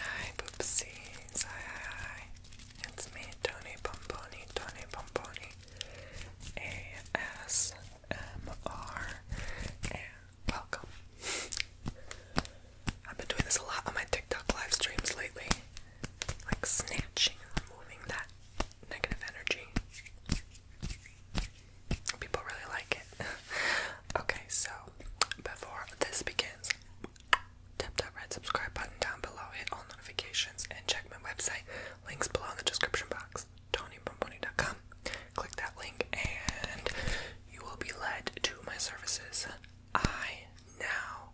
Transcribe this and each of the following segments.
Hi, poopsies. Hi, hi, hi. It's me, Tony Pomponi, Tony Pomponi. ASMR. welcome. I've been doing this a lot on my TikTok live streams lately. Like snatching and removing that negative energy. People really like it. okay, so before this begins, tap that red subscribe button down below, hit all notifications, and check my website. Links below in the description box. TonyBomboni.com. Click that link, and you will be led to my services. I now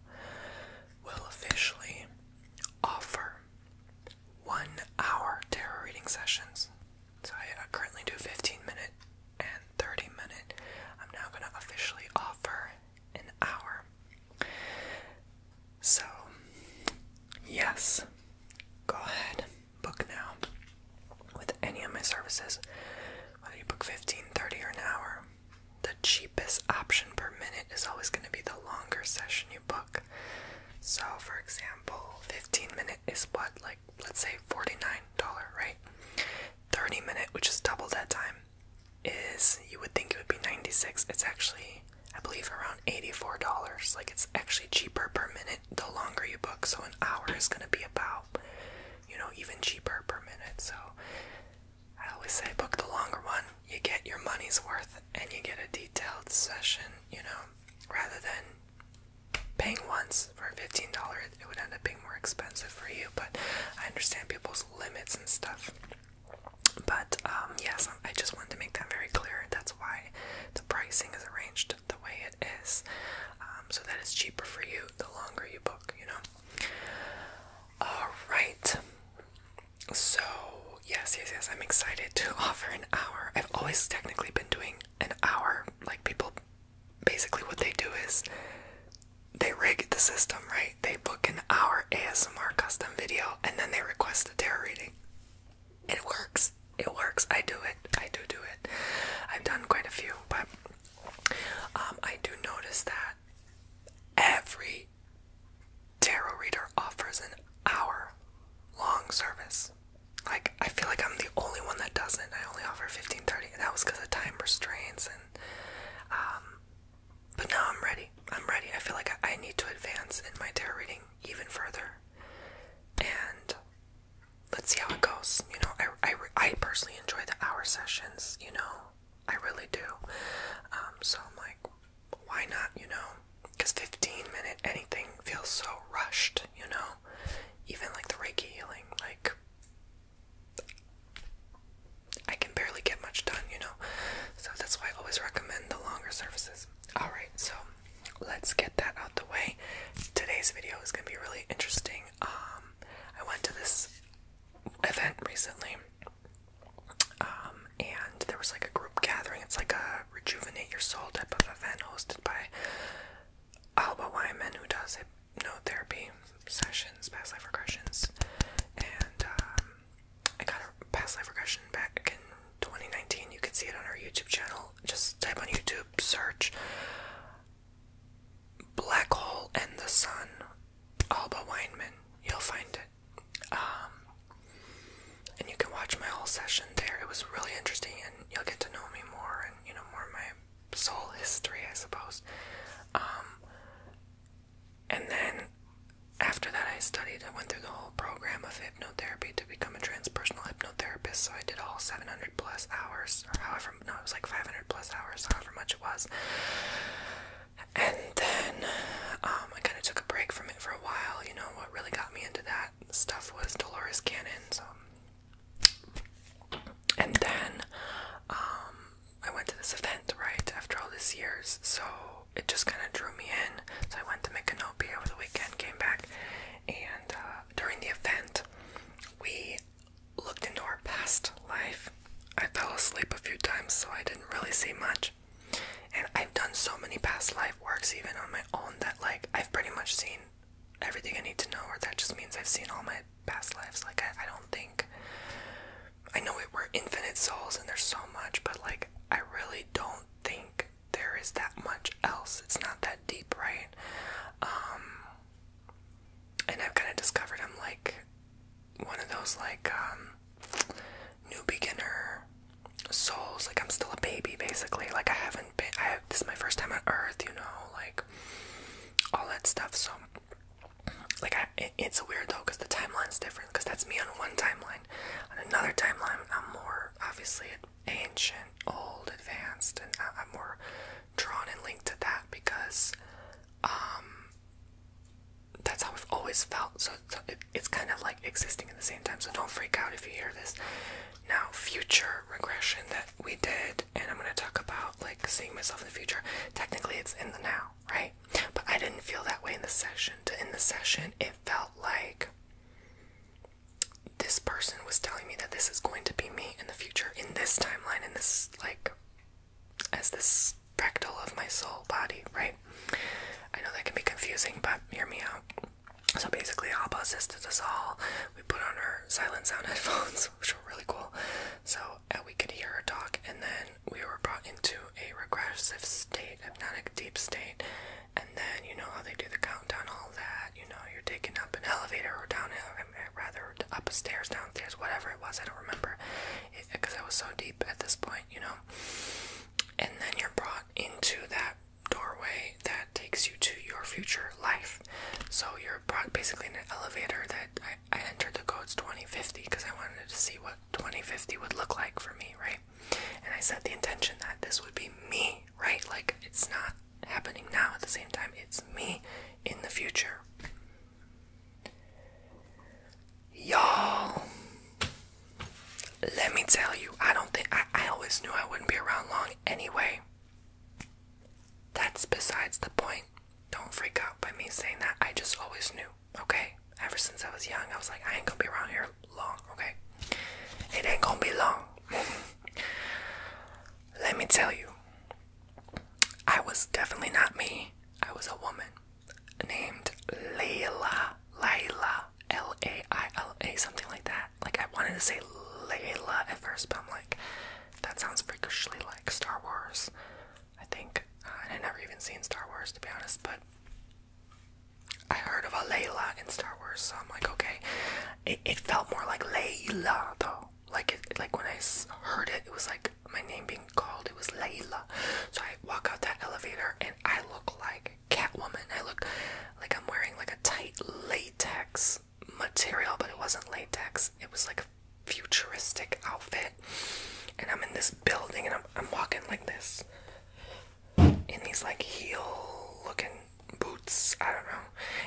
will officially offer one hour tarot reading sessions. So I currently do 15 minute and 30 minute. I'm now going to officially offer an hour. So, yes, go ahead, book now with any of my services. Whether you book 15, 30, or an hour, the cheapest option per minute is always going to be the longer session you book. So, for example, 15 minute is what, like let's say $49, right? 30 minute, which is double that time, is you would think it would be 96. It's actually, I believe, around $84. Like it's actually cheaper per minute the longer you book. So an hour is going to be about, you know, even cheaper per minute. So I always say book the longer one. You get your money's worth and you get a detailed session, you know, rather than paying once for $15, it would end up being more expensive for you, but I understand people's limits and stuff. But um, yes, I just wanted to make that very clear. That's why the pricing is arranged the way it is, um, so that it's cheaper for you the longer you book, you know? Alright. So, yes, yes, yes, I'm excited to offer an hour. I've always technically been doing an hour, like people basically what they do is they rig the system, right? They book an hour ASMR custom video and then they request a tarot reading. It works. It works. I do it. I do do it. I've done quite a few, but um, I do notice that every tarot reader offers an hour long service like I feel like I'm the only one that doesn't. I only offer fifteen thirty, that was because of time restraints. And um, but now I'm ready. I'm ready. I feel like I, I need to advance in my tarot reading even further, and let's see how it goes. You know, I I I personally enjoy the hour sessions. You know, I really do. Um, so I'm like, why not? You know, because fifteen minute anything feels so rushed. You know, even like the Reiki healing, like I can barely get much done, you know. So that's why I always recommend the longer services. Alright, so let's get that out the way. Today's video is gonna be really interesting. Um I went to this event recently. Um, and there was like a group gathering. It's like a rejuvenate your soul type of event hosted by Alba Wyman, who does it no therapy sessions, past life regressions, and um, I got a past life regression back in 2019. You can see it on our YouTube channel. Just type on YouTube, search "Black Hole and the Sun," Alba Weinman. You'll find it. Um, and you can watch my whole session there. It was really interesting, and you'll get to know me more, and you know more of my soul history, I suppose. Um, and then after that, I studied. I went through the whole program of hypnotherapy to become a transpersonal hypnotherapist. So I did all 700 plus hours, or however, no, it was like 500 plus hours, however much it was. And then um, I kind of took a break from it for a while. You know, what really got me into that stuff was Dolores Cannon. So and then um, I went to this event right after all these years, so it just kind of drew me in. So I went to Micanopy over the weekend, came back, and uh, during the event, we looked into our past life. I fell asleep a few times, so I didn't really see much. And I've done so many past life works, even on my own, that like I've pretty much seen everything I need to know, or that just means I've seen all my past lives. Like, I, don't think. I know it, we're infinite souls and there's so much, but like, I really don't think there is that much else. It's not that deep, right? Um, and I've kind of discovered I'm like one of those like um, new beginner souls. Like I'm still a baby, basically. Like I haven't been. I have, this is my first time on Earth, you know. Like all that stuff. So, like, I, it's weird though because the timeline's different. Because that's me on one timeline. On another timeline, I'm more obviously ancient, old, advanced, and I, am more drawn and linked to that because um, that's how I've always felt. So, it's kind of like existing at the same time. So don't freak out if you hear this. Now, future regression that we did and I'm gonna talk about like seeing myself in the future. Technically, it's in the now, right? But I didn't feel that way in the session. In the session, it felt like this person was telling me that this is going to be me in the future, in this timeline, in this like as this fractal of my soul body, right? I know that can be confusing, but hear me out. So basically, all Abba assisted us all. We put on our silent sound headphones which were really cool. So we could hear her talk, and then we were brought into a regressive state, hypnotic deep state. And then you know how they do the countdown, all that. You know, you're taken up an elevator or down, uh, um, uh, rather up downstairs, whatever it was. I don't remember, because I was so deep at this point, you know. And then you're brought into that doorway that takes you to your future life so you're basically in an elevator that I, I entered the codes 2050 because I wanted to see what 2050 would look like for me, right? And I set the intention that this would be me, right? Like it's not happening now at the same time, it's me in the future. Y'all, let me tell you, I don't think I, I always knew I wouldn't be around long anyway. That's besides the point. Don't freak out by me saying that. I just always knew, okay? Ever since I was young, I was like, I ain't gonna be around here long, okay? It ain't gonna be long. Let me tell you, I was definitely not me. I was a woman named Layla. Layla. L A I L A, something like that. Like, I wanted to say Layla at first, but I'm like, that sounds freakishly like Star Wars. I think uh, I've never even seen Star Wars to be honest, but I heard of a Layla in Star Wars, so I'm like, okay. It, felt more like Layla though. Like like when I heard it, it was like my name being called. It was Layla. So I walk out that elevator and I look like Catwoman. I look like I'm wearing like a tight latex material, but it wasn't latex. It was like a futuristic outfit. And I'm in this building and I'm, walking like this in these like heel looking boots. I don't know.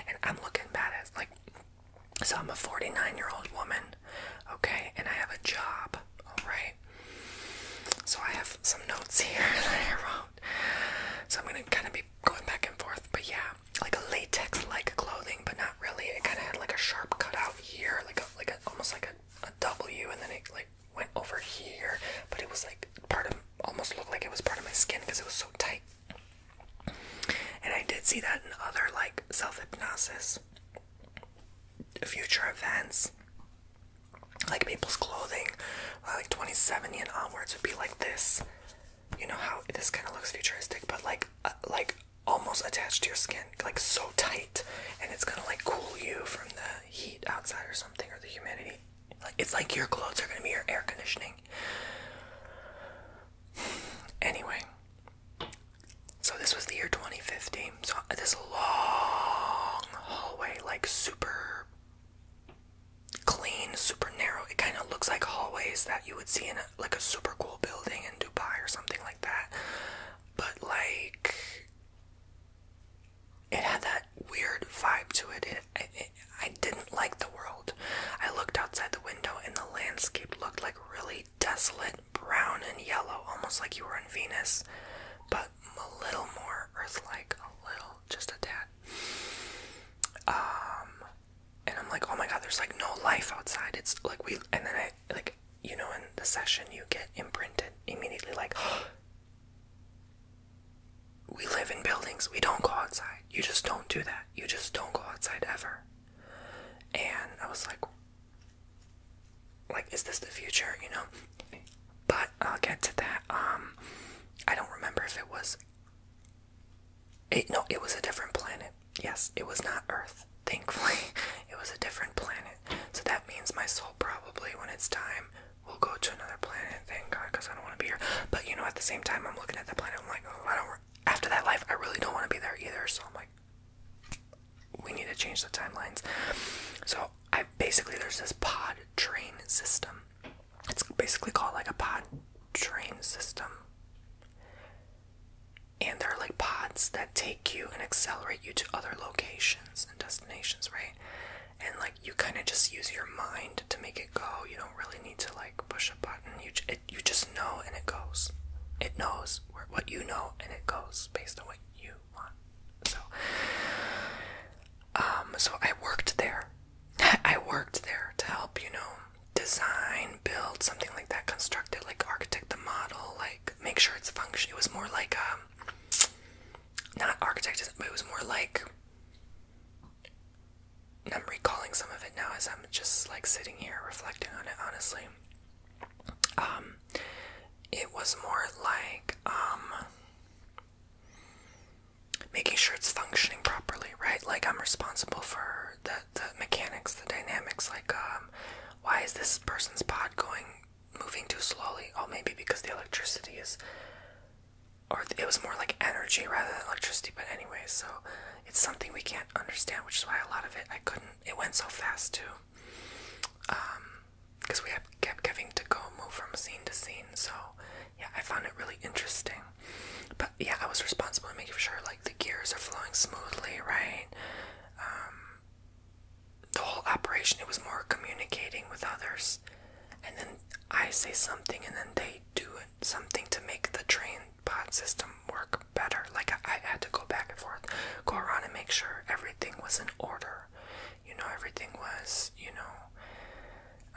And I'm looking badass. Like, so I'm a 49 year old woman, okay? And I have a job, alright? So I have some notes here that I wrote. So I'm gonna kind of be going back and forth. But yeah, like a latex-like clothing, but not really. It kind of had like a sharp cut out here, like a, like a, almost like a, a W, and then it like went over here. But it was like part of almost looked like it was part of my skin because it was so tight. And I did see that in other like self-hypnosis, future events, like people's clothing, like 2070 and onwards would be like this you know how this kind of looks futuristic, but like uh, like almost attached to your skin, like so tight, and it's gonna like cool you from the heat outside or something or the humidity. Like it's like your clothes are gonna be your air conditioning. Anyway, so this was the year 2015. So uh, this long hallway, like super clean, super narrow. It kind of looks like hallways that you would see in like a super cool building in Dubai or something like that. But like it had that weird vibe to it. I didn't like the world. I looked outside the window and the landscape looked like really desolate brown and yellow, almost like you were on Venus, but a little more Earth like, a little, just a tad. Um, and I'm like, oh my god, there's like no life outside. It's like we, and then I like, you know, in the session you get imprinted immediately, like, oh, we live in buildings. We don't go outside. You just don't do that. You just don't go outside ever. And I was like, like, is this the future? You know. But I'll get to that. Um, I don't remember if it was it, no, it was a different planet. Yes, it was not Earth. Thankfully, it was a different planet. So that means my soul probably, when it's time, will go to another planet. Thank God, because I don't want to be here. But you know, at the same time, I'm looking at the planet. I'm like, oh, I don't. After that life, I really don't want to be there either. So I'm like, we need to change the timelines. So I basically there's this pod train system. It's basically called like a pod train system and they're like pods that take you and accelerate you to other locations and destinations, right? And like you kind of just use your mind to make it go. You don't really need to like push a button. You it, you just know and it goes. It knows where, what you know and it goes based on what you want. So, um, so I worked there. I worked there to help, you know, design, build, something like that, construct it, like architect the model, like make sure it's function. It was more like um, not architect, but it was more like. I'm recalling some of it now as I'm just like sitting here reflecting on it. Honestly, um, it was more like um making sure it's functioning properly, right? Like I'm responsible for the the mechanics, the dynamics, like um, why is this person's pod going moving too slowly? Oh, maybe because the electricity is, or it was more like energy rather than electricity. But anyway, so it's something we can't understand, which is why a lot of it I couldn't. It went so fast too, because um, we kept having to go move from scene to scene. So yeah, I found it really interesting. But yeah, I was responsible to making sure like the gears are flowing smoothly, right? Um, the whole operation, it was more communicating with others. And then I say something, and then they do something to make the train pod system work better. Like, I, had to go back and forth, go around and make sure everything was in order. You know, everything was, you know.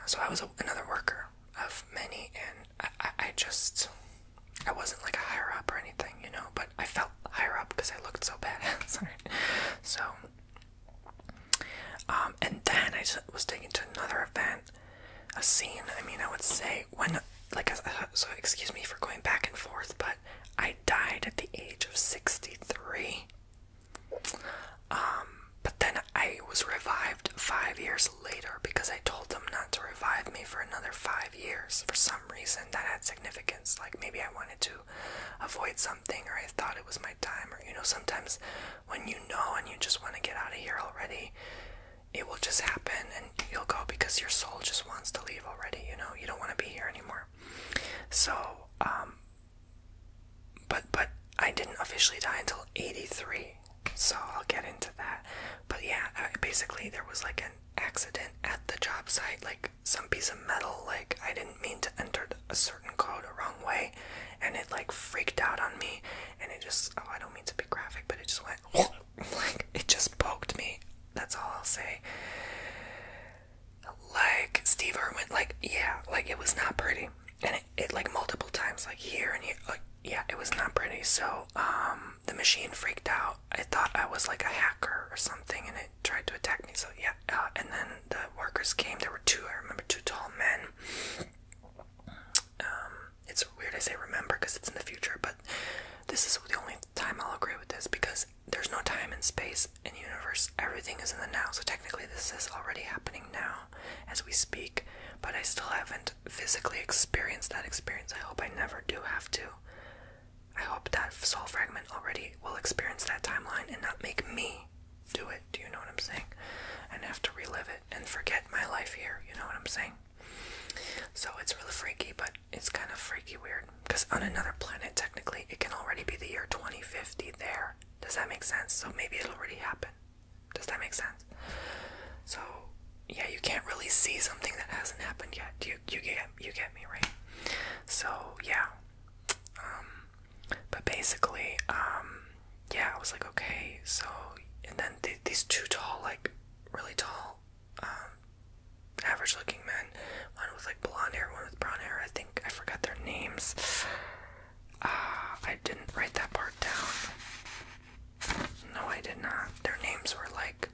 So I was another worker of many, and I, I just I wasn't like a higher up or anything, you know, but I felt higher up because I looked so badass. so, um, and then I was taken to another event, a scene. I mean, I would say when, like, uh, so excuse me for going back and forth, but I died at the age of 63. Um, but then I was revived five years later because I told them not to revive me for another five years for some reason that had significance. Like maybe I wanted to avoid something or I thought it was my time, or you know, sometimes when you know and you just want to get out of here already, it will just happen and you'll go because your soul just wants to leave already, you know, you don't want to be here anymore. So, um, but, but I didn't officially die until 83 so I'll get into that. But yeah, basically, there was like an accident at the job site, like some piece of metal, like I didn't mean to enter a certain code a wrong way, and it like freaked out on me, and it just, oh, I don't mean to be graphic, but it just went like it just poked me. That's all I'll say. Like Steve Irwin, like yeah, like it was not pretty, and it, like multiple times, like here and here, like yeah, it was not pretty. So um, the machine freaked out. I thought I was like a hacker or something, and it tried to attack me. So yeah, uh, and then the workers came. There were two. I remember two tall men. Um, it's weird I say remember because it's in the future, but this is the only time I'll agree with this because there's no time and space in universe. Everything is in the now. So technically, this is already happening now as we speak. But I still haven't physically experience that experience, I hope I never do have to. I hope that soul fragment already will experience that timeline and not make me do it. Do you know what I'm saying? And have to relive it and forget my life here. You know what I'm saying? So it's really freaky, but it's kind of freaky weird. Because on another planet, technically, it can already be the year 2050 there. Does that make sense? So maybe it already happened. Does that make sense? So yeah, you can't really see something that hasn't happened yet. You you get you get me right. So yeah, um, but basically, um, yeah, I was like, okay, so and then these two tall, like really tall, um, average-looking men. One with like blonde hair, one with brown hair. I think I forgot their names. Uh, I didn't write that part down. No, I did not. Their names were like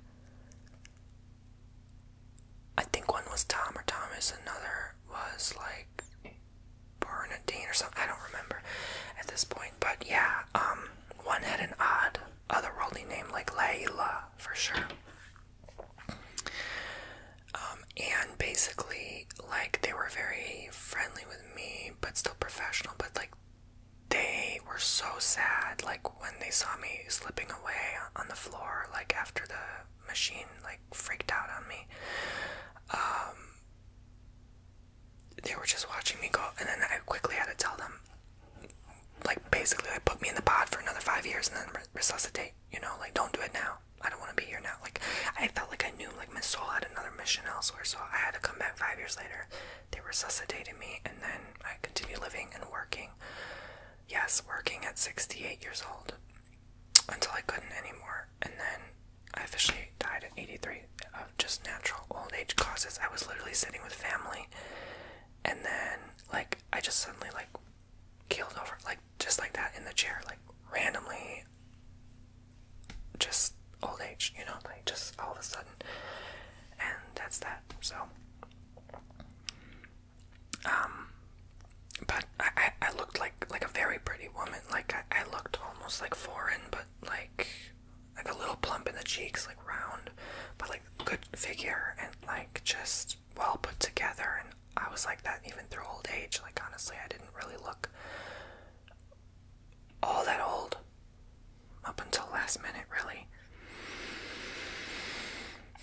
I think one was Tom or Thomas, another was like Bernadine or something. I don't remember at this point, but yeah, um, one had an odd other worldly name like Layla for sure. Um, and basically, like, they were very friendly with me, but still professional, but like they were so sad like when they saw me slipping away on the floor like after the machine like freaked out on me um they were just watching me go and then i quickly had to tell them like basically like put me in the pod for another five years and then resuscitate you know like don't do it now i don't want to be here now like i felt like i knew like my soul had another mission elsewhere so i had to come back five years later they resuscitated me, and then I continued living and working. Yes, working at 68 years old until I couldn't anymore. And then I officially died at 83 of just natural old age causes. I was literally sitting with family, and then, like, I just suddenly, like, keeled over, like, just like that in the chair, like, randomly. Just old age, you know, like just all of a sudden, and that's that. So, um, but I, I, looked like like a very pretty woman. Like I looked almost like foreign, but like like a little plump in the cheeks, like round, but like good figure and like just well put together. And I was like that even through old age. Like honestly, I didn't really look all that old up until last minute, really.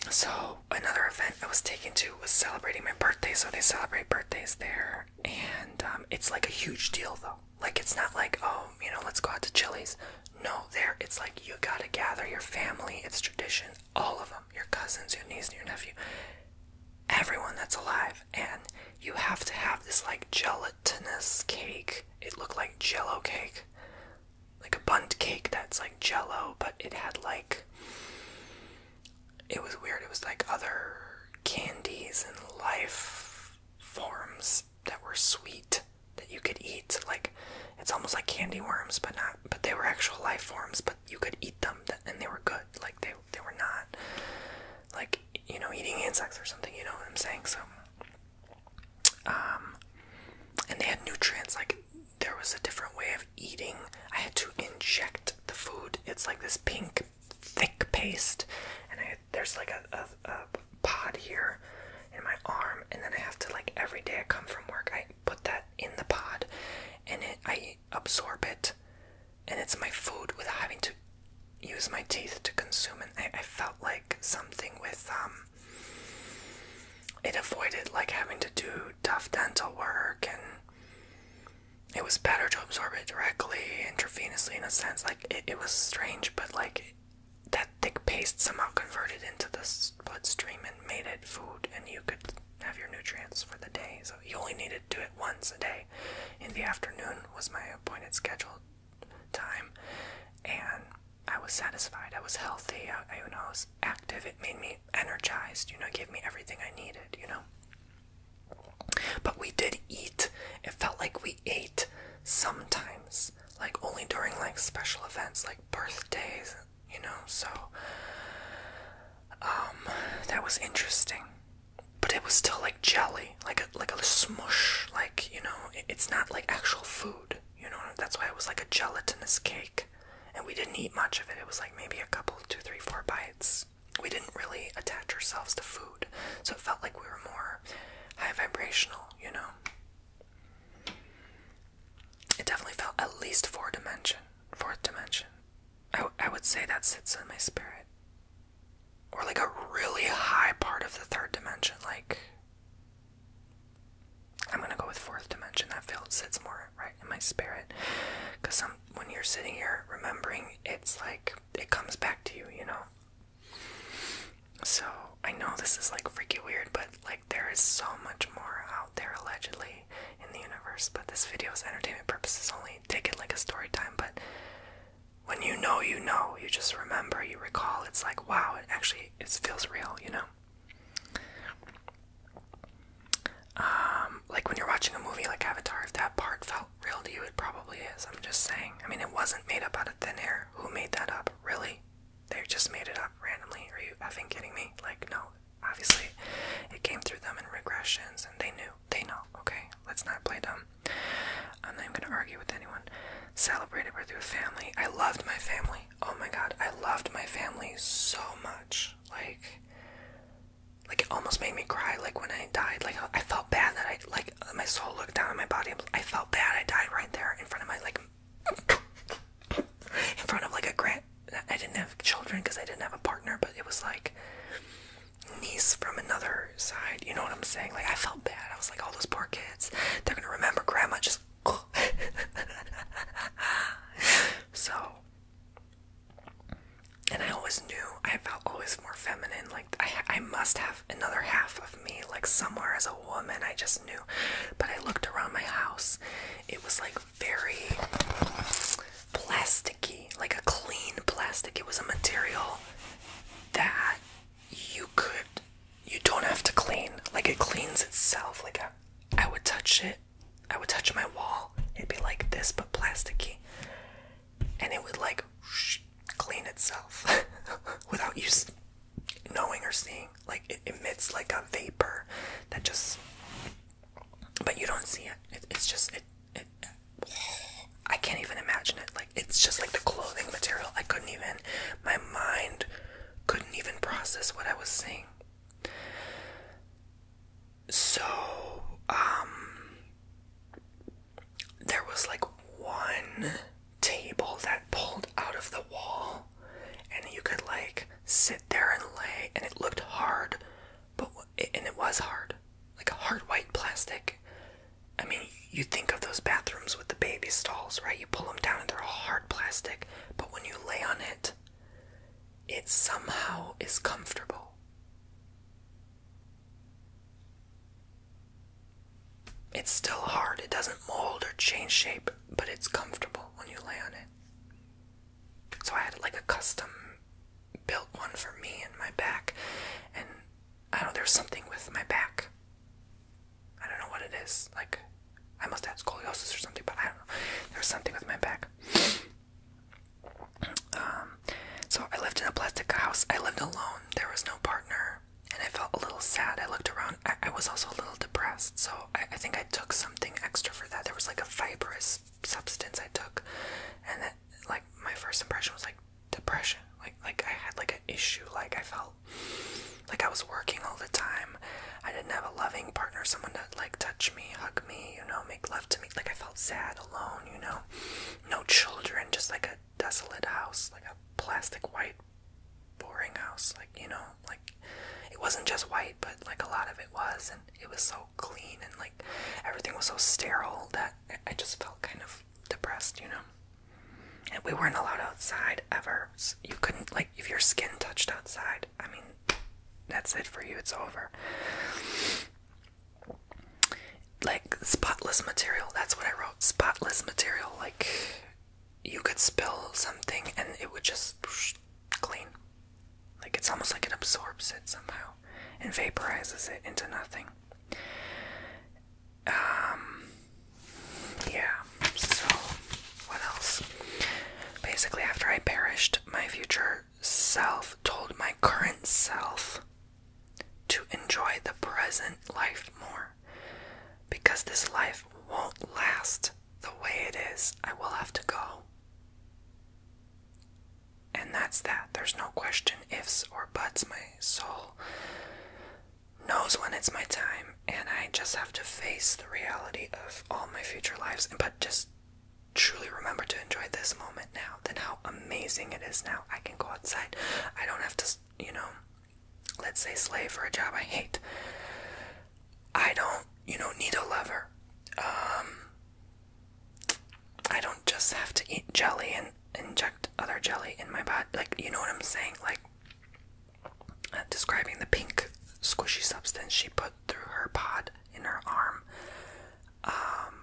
So, another event I was taken to was celebrating my birthday, so they celebrate birthdays there. And um, it's like a huge deal, though. Like, it's not like, oh, you know, let's go out to Chili's. No, there, it's like you gotta gather your family, it's tradition, all of them your cousins, your niece, your nephew, everyone that's alive. And you have to have this like gelatinous cake. It looked like jello cake like a bundt cake that's like jello, but it had like it was weird. It was like other candies and life forms that were sweet that you could eat. Like it's almost like candy worms, but not. But they were actual life forms, but you could eat them, and they were good. Like they they were not like you know eating insects or something. You know what I'm saying? So um, and they had nutrients, like there was a different way of eating. I had to inject the food. It's like this pink, thick paste, and I, there's like a, a, pod here in my arm, and then I have to like every day I come from work, I put that in the pod, and it I absorb it, and it's my food without having to use my teeth to consume it. I, I felt like something with um it avoided like having to do tough dental work and it was better to absorb it directly intravenously in a sense like it, was strange but like that thick paste somehow converted into the bloodstream and made it food and you could have your nutrients for the day so you only needed to do it once a day in the afternoon was my appointed schedule time, and I was satisfied. I was healthy. I, you know, was active. It made me energized. You know, gave me everything I needed. You know, but we did eat. It felt like we ate sometimes, like only during like special events, like birthdays. You know, so um, that was interesting. But it was still like jelly, like a like a smush, like you know, it's not like actual food. You know, that's why it was like a gelatinous cake. And we didn't eat much of it. It was like maybe a couple, two, three, four bites. We didn't really attach ourselves to food. So it felt like we were more high vibrational, you know? It definitely felt at least four dimension. Fourth dimension. I, I would say that sits in my spirit. Or like a really high part of the third dimension, like I'm gonna go with fourth dimension. That feels sits more right in my spirit. Cause when you're sitting here remembering, it's like it comes back to you, you know. So I know this is like freaky weird, but like there is so much more out there allegedly in the universe. But this video is entertainment purposes only. Take it like a story time, but when you know you know, you just remember, you recall, it's like wow, it actually it feels real, you know. Um, like when you're watching a movie like Avatar, if that part felt real to you, it probably is. I'm just saying. I mean, it wasn't made up out of thin air. Who made that up? Really? They just made it up randomly. Are you effing kidding me? Like, no. Obviously, it came through them in regressions, and they knew. They know. Okay, let's not play dumb. I'm not even gonna argue with anyone. Celebrated birth through a family. I loved my family. Oh my god, I loved my family so much. Like like it almost made me cry like when I died. Like I felt bad that I like my soul looked down on my body. I felt bad I died right there in front of my like in front of like a grant. I didn't have children because I didn't have a partner, but it was like niece from another side. You know what I'm saying? Like I felt bad. I was like, all those poor kids. They're gonna remember grandma just so and I always knew I felt always more feminine like I I must have another half of me like somewhere as a woman I just knew but I looked around my house it was like very plasticky like a clean plastic it was a material that you could you don't have to clean. Like it cleans itself. Like I, would touch it. I would touch my wall. It'd be like this, but plasticky. And it would like clean itself without you knowing or seeing. Like it emits like a vapor that just. But you don't see it. it's just It. I can't even imagine it. Like it's just like the clothing material. I couldn't even. My mind couldn't even process what I was seeing. So, um, there was like one table that pulled out of the wall, and you could like sit there and lay, and it looked hard, but and it was hard, like a hard white plastic. I mean, you think of those bathrooms with the baby stalls, right? You pull them down and they're all hard plastic but when you lay on it, it somehow is comfortable. It's still hard, it doesn't mold or change shape, but it's comfortable when you lay on it. So I had like a custom built one for me and my back, and I don't know, there's something with my back I don't know what it is. Like, I must have scoliosis or something, but I don't know. There was something with my back. Um, so I lived in a plastic house. I lived alone. There was no partner, and I felt a little sad. I looked around. I, was also a little depressed, so I, think I took something extra for that. There was like a fibrous substance I took, and that like my first impression was like depression. Like like I had like an issue. Like I felt like I was working all the time. I didn't have a loving partner, someone to like touch me, hug me, you know, make love to me. Like I felt sad, alone, you know. No children, just like a desolate house, like a plastic white boring house, like you know, like it wasn't just white, but like a lot of it was and it was so clean and like everything was so sterile that I just felt kind of depressed, you know. And we weren't allowed outside ever you couldn't like if your skin touched outside. I mean, that's it for you. It's over. Like spotless material. That's what I wrote. Spotless material. Like you could spill something and it would just clean. Like it's almost like it absorbs it somehow and vaporizes it into nothing. Um yeah, so what else? Basically, after I perished, my future self told my current self to enjoy the present life more because this life won't last the way it is. I will have to go. And that's that. There's no question, ifs, or buts. My soul knows when it's my time, and I just have to face the reality of all my future lives, but just truly remember to enjoy this moment now, then how amazing it is now. I can go outside. I don't have to, you know, let's say slave for a job I hate. I don't, you know, need a lover. Um, I don't just have to eat jelly and inject other jelly in my butt. Like, you know what I'm saying? Like, uh, describing the pink squishy substance she put through her pod in her arm um,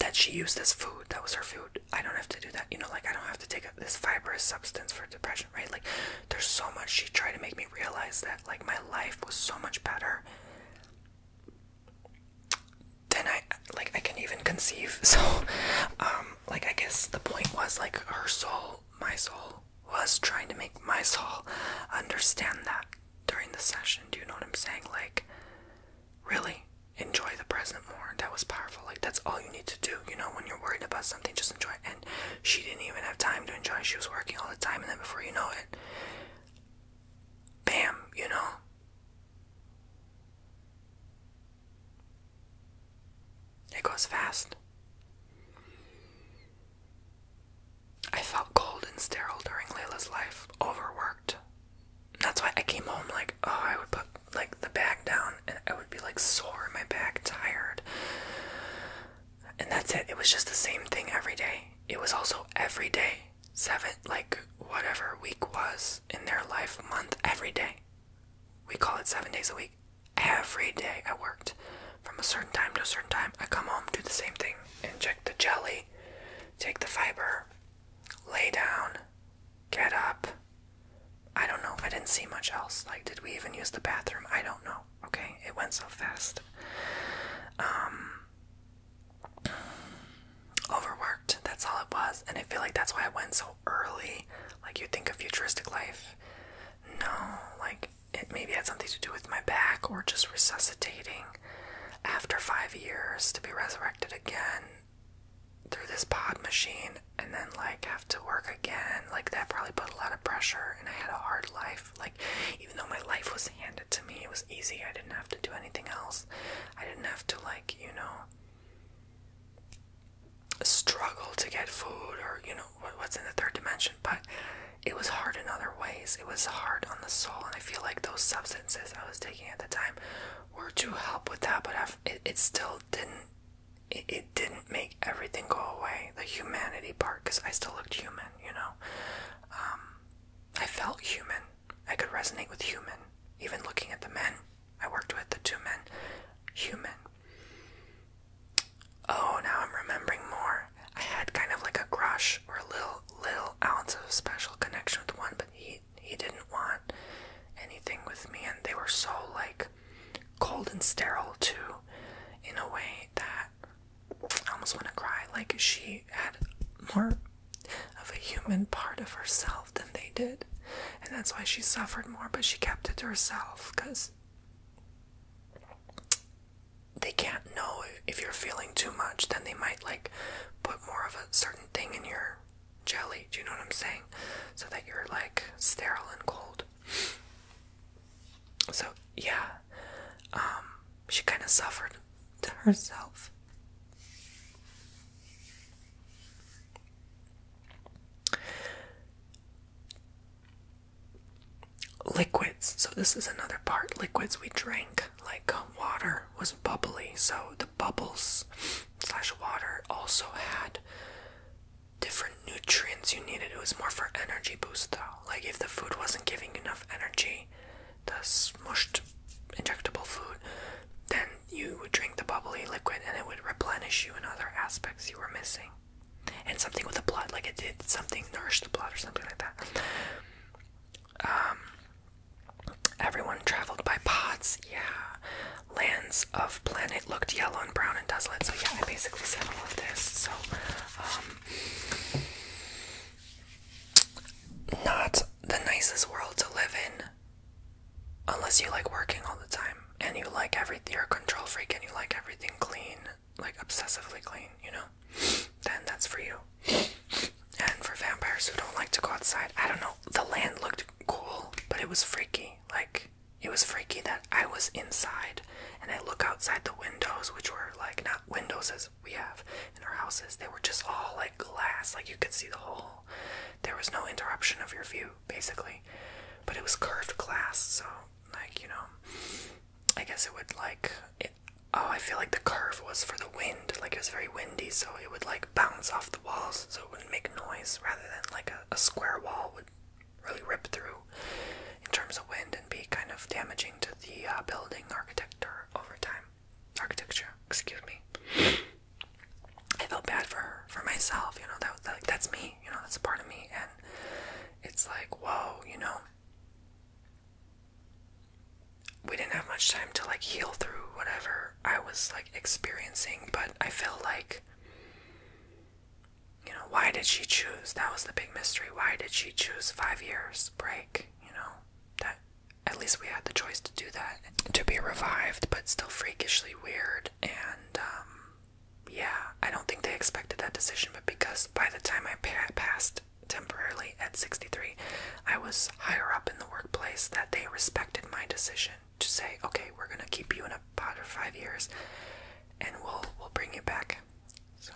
that she used as food that was her food i don't have to do that you know like i don't have to take this fibrous substance for depression right like there's so much she tried to make me realize that like my life was so much better than i like i can even conceive so um like i guess the point was like her soul my soul was trying to make my soul understand that during the session. Do you know what I'm saying? Like, really enjoy the present more. That was powerful. Like, that's all you need to do. You know, when you're worried about something, just enjoy And she didn't even have time to enjoy. She was working all the time, and then before you know it, bam, you know. It goes fast. I felt cold and sterile during Layla's life, overworked. That's why I came home like, oh, I would put like the bag down and I would be like sore in my back, tired. And that's it. It was just the same thing every day. It was also every day, seven, like whatever week was in their life, month, every day. We call it seven days a week every day I worked from a certain time to a certain time. I come home, do the same thing, inject the jelly, take the fiber, lay down, get up. I don't know. I didn't see much else. Like, did we even use the bathroom? I don't know. Okay, it went so fast. Um, overworked. That's all it was, and I feel like that's why I went so early. Like, you think a futuristic life, no, like it maybe had something to do with my back or just resuscitating after five years to be resurrected again through this pod machine and then like have to work again. Like that probably put a lot of pressure and I had a hard life. Like even though my life was handed to me, it was easy. I didn't have to do anything else. I didn't have to like, you know struggle to get food or you know what's in the third dimension but it was hard in other ways it was hard on the soul and i feel like those substances i was taking at the time were to help with that but I've, it, still didn't it, it didn't make everything go away the humanity part because i still looked human you know um, i felt human i could resonate with human even looking at the men i worked with the two men human Oh, now I'm remembering more. I had kind of like a crush or a little little ounce of special connection with one, but he he didn't want anything with me, and they were so like cold and sterile too, in a way that I almost want to cry. Like she had more of a human part of herself than they did, and that's why she suffered more. But she kept it to herself because they can't know if you're feeling too much, then they might like put more of a certain thing in your jelly. Do you know what I'm saying? So that you're like sterile and cold. So, yeah, um, she kind of suffered to herself liquids. So, this is another part. Liquids we drank, like um, water, was bubbly. So, the bubbles slash water also had different nutrients you needed. It was more for energy boost, though. Like, if the food wasn't giving enough energy, the smushed injectable food, then you would drink the bubbly liquid and it would replenish you in other aspects you were missing and something with the blood, like it did something nourish the blood or something like that. Um, everyone traveled by pods, yeah. Lands of planet looked yellow and brown and desolate. So yeah, I basically said all of this. So, um, not the nicest world to live in, unless you like working all the time and you like every, You're a control freak and you like everything clean like obsessively clean, you know, then that's for you. And for vampires who don't like to go outside, I don't know. The land looked cool, but it was freaky. Like it was freaky that I was inside and I look outside the windows, which were like not windows as we have in our houses. They were just all like glass, like you could see the whole. There was no interruption of your view, basically. But it was curved glass, so like you know i guess it would like oh i feel like the curve was for the wind like it was very windy so it would like bounce off the walls so it wouldn't make noise rather than like a, square wall would really rip through in terms of wind and be kind of damaging to the uh, building architecture over time architecture excuse me i felt bad for for myself you know that, that that's me you know that's a part of me and it's like, whoa, you know. We didn't have much time to like heal through whatever I was like experiencing, but I feel like, you know, why did she choose? That was the big mystery. Why did she choose five years break? You know, that at least we had the choice to do that, to be revived, but still freakishly weird and um, yeah, I don't think they expected that decision, but because by the time I passed temporarily at 63, I was higher up in the workplace that they respected my decision to say, okay, we're gonna keep you in a pod for five years, and we'll we'll bring you back. So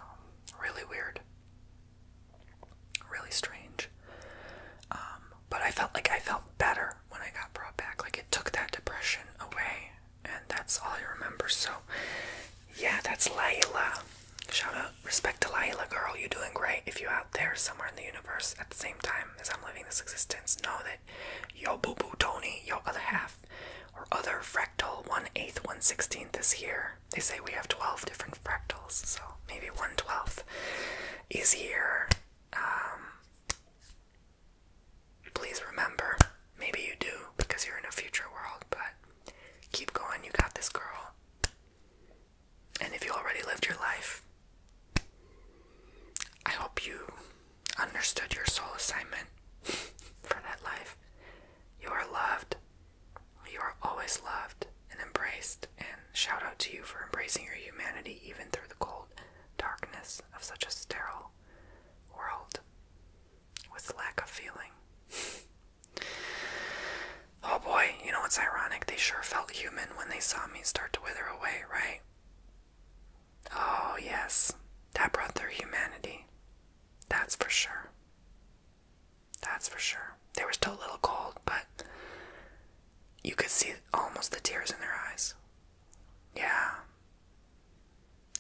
really weird, really strange. Um, but I felt like I felt better when I got brought back. Like it took that depression away, and that's all I remember. So, yeah, that's Layla. Shout out, respect to Layla, girl. You're doing great. If you're out there somewhere in the universe at the same time as I'm living this existence, know that yo boo boo Tony, yo other half, or other fractal one eighth, one sixteenth is here. They say we have twelve different fractals, so maybe one twelfth is here. Um, please remember maybe you do because you're in a future world, but keep going. You got this girl. And if you already lived your life, I hope you understood your soul assignment for that life. You are loved. You are always loved and embraced. And shout out to you for embracing your humanity even through the cold darkness of such a sterile world with lack of feeling. oh boy, you know what's ironic? They sure felt human when they saw me start to wither away, right? Oh, yes, that brought their humanity. That's for sure. That's for sure. They were still a little cold, but you could see almost the tears in their eyes. Yeah.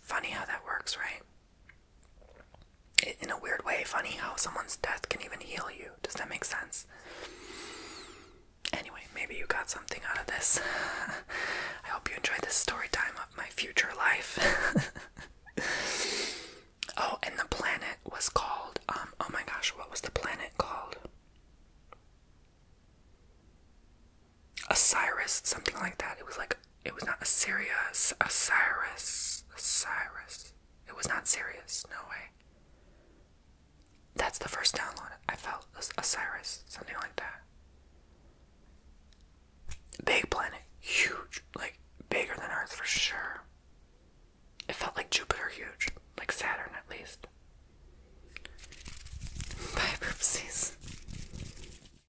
Funny how that works, right? in a weird way, funny how someone's death can even heal you. Does that make sense? Anyway, maybe you got something out of this. I hope you enjoyed this story time of my future life. oh, and the planet was called, um, oh my gosh, what was the planet called? Osiris, something like that. It was like it was not Assyria, Osiris, Osiris. It was not Sirius, no way. That's the first download I felt. Osiris, something like that. Big planet, huge, like bigger than Earth for sure. It felt like Jupiter, huge, like Saturn at least. Bye,